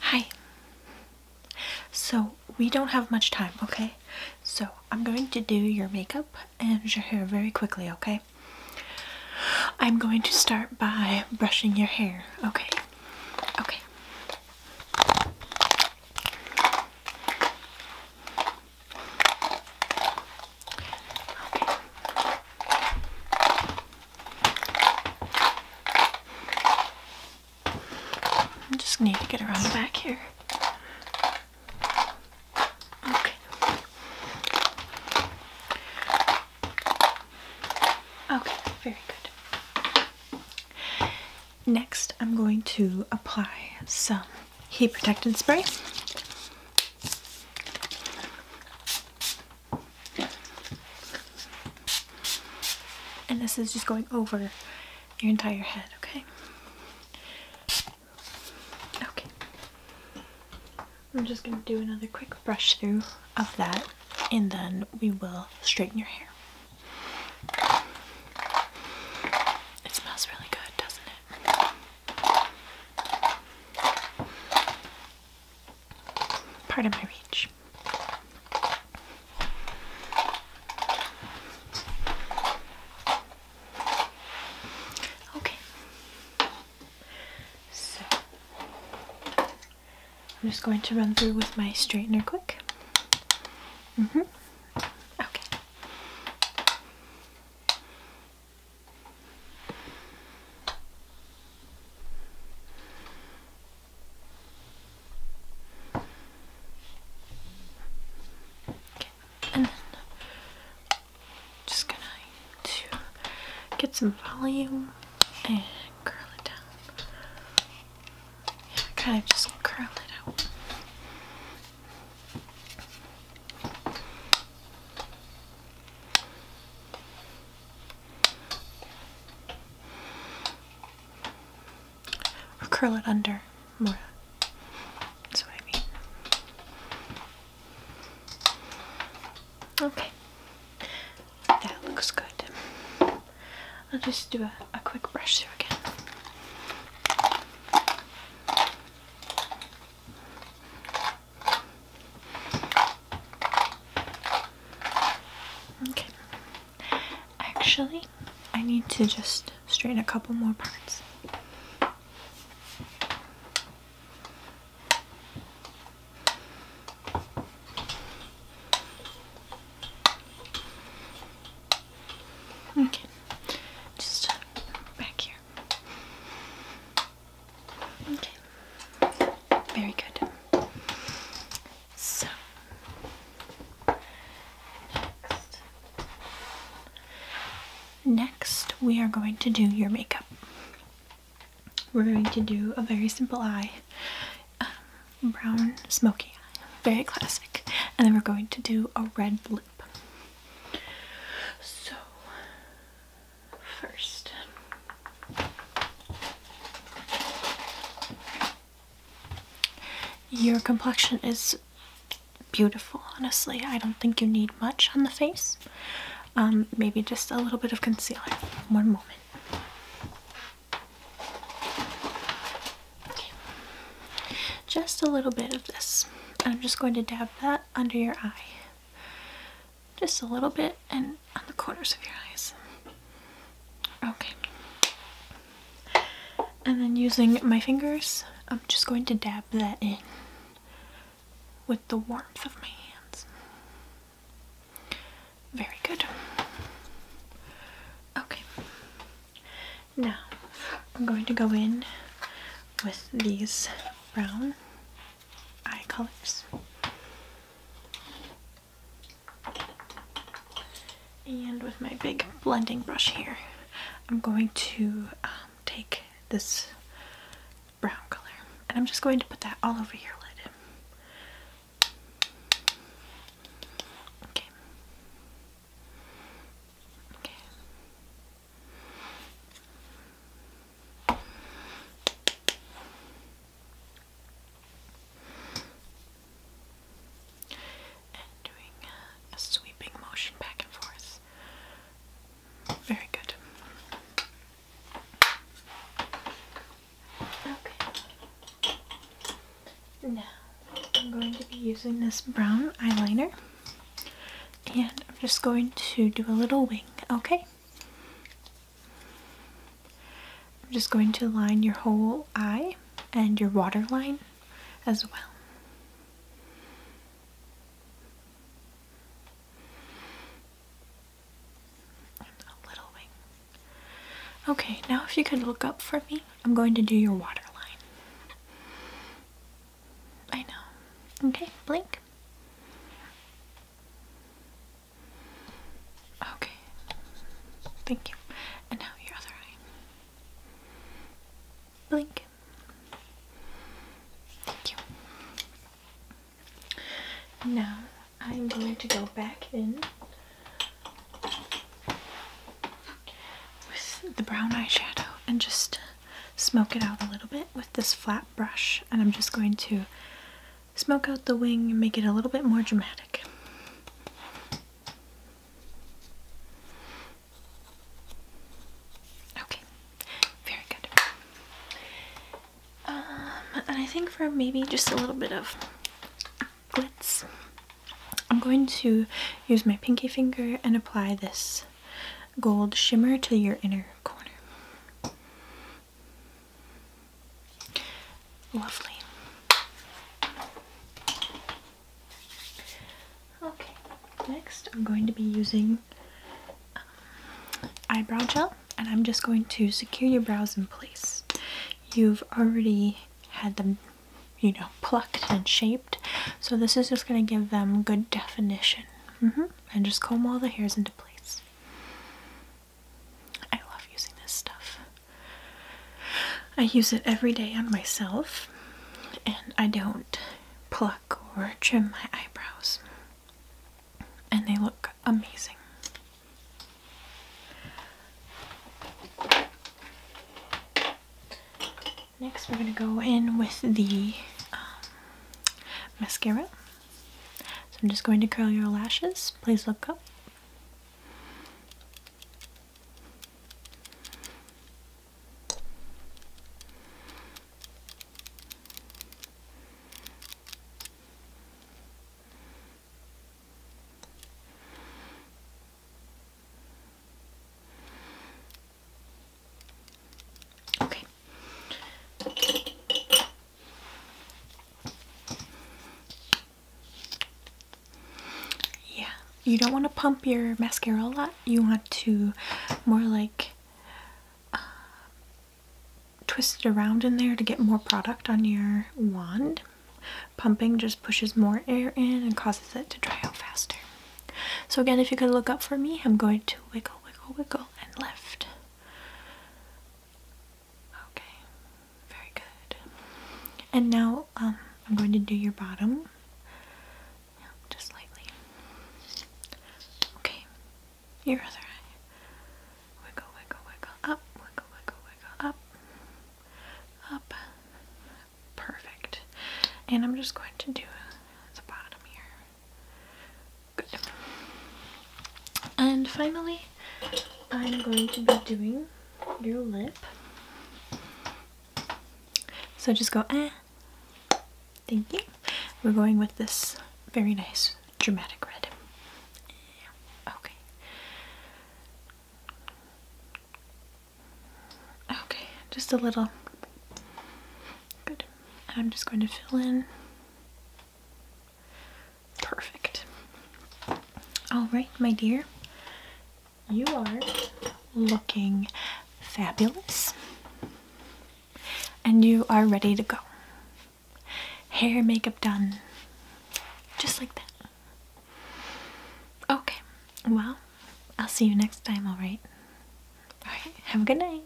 Hi. So, we don't have much time, okay? So, I'm going to do your makeup and your hair very quickly, okay? I'm going to start by brushing your hair, okay? Okay. I just need to get around back here. Okay. Okay, very good. Next, I'm going to apply some heat protectant spray. And this is just going over your entire head, okay? Okay. I'm just going to do another quick brush through of that and then we will straighten your hair. It smells really good, doesn't it? Part of my reach. Okay. So I'm just going to run through with my straightener quick. hmm Okay and just gonna to get some volume and curl it down. Yeah, kind of just curl it out. Or curl it under more. That's what I mean. Okay. That looks good. I'll just do a quick brush through again. Okay. Actually, I need to just straighten a couple more parts. Okay, just uh, back here. Okay, very good. So, next, we are going to do your makeup. We're going to do a very simple eye, um, brown smoky eye, very classic, and then we're going to do a red lip. So, first, your complexion is beautiful, honestly. I don't think you need much on the face. Um, maybe just a little bit of concealer. One moment. Just a little bit of this. I'm just going to dab that under your eye. Just a little bit and on the corners of your eyes. Okay. And then using my fingers, I'm just going to dab that in with the warmth of my hands. Very good. Okay. Now, I'm going to go in with these brown eye colors. And with my big blending brush here, I'm going to um, take this brown color and I'm just going to put that all over your lid. Okay. Okay. And doing a, sweeping motion back and forth. Very good. Okay. Now, I'm going to be using this brown eyeliner. And I'm just going to do a little wing, okay? I'm just going to line your whole eye and your waterline as well a little wing. Okay, now if you could look up for me, I'm going to do your waterline. I know. Okay, blink. Okay. Thank you. And now your other eye. Blink. Thank you. Now I'm going to go back in with the brown eyeshadow and just smoke it out a little bit with this flat brush and I'm just going to smoke out the wing and make it a little bit more dramatic. Okay, very good. Um, and I think for maybe just a little bit of glitz, I'm going to use my pinky finger and apply this gold shimmer to your inner corner. Lovely. Okay, next I'm going to be using eyebrow gel and I'm just going to secure your brows in place. You've already had them, you know, plucked and shaped, so this is just going to give them good definition. Mm-hmm. And just comb all the hairs into place. I love using this stuff. I use it every day on myself, and I don't pluck or trim my eyebrows and they look amazing. Next, we're going to go in with the um, mascara. So I'm just going to curl your lashes. Please look up. Okay. Yeah, you don't want to pump your mascara a lot. You want to more like twist it around in there to get more product on your wand. Pumping just pushes more air in and causes it to dry out faster. So again, if you could look up for me, I'm going to wiggle, wiggle, wiggle, and lift. Okay, very good. And now um, I'm going to do your bottom just lightly. Okay, your other eye. Wiggle, wiggle, wiggle up, wiggle, wiggle, wiggle up, up. Perfect. And I'm just going to do the bottom here. Good. And finally, I'm going to be doing your lip. So just go eh Thank you. We're going with this very nice dramatic red. Okay. Okay, just a little. Good. I'm just going to fill in. Perfect. All right, my dear. You are looking fabulous and you are ready to go. Hair, makeup done. Just like that. Okay, well, I'll see you next time, alright? Alright, have a good night.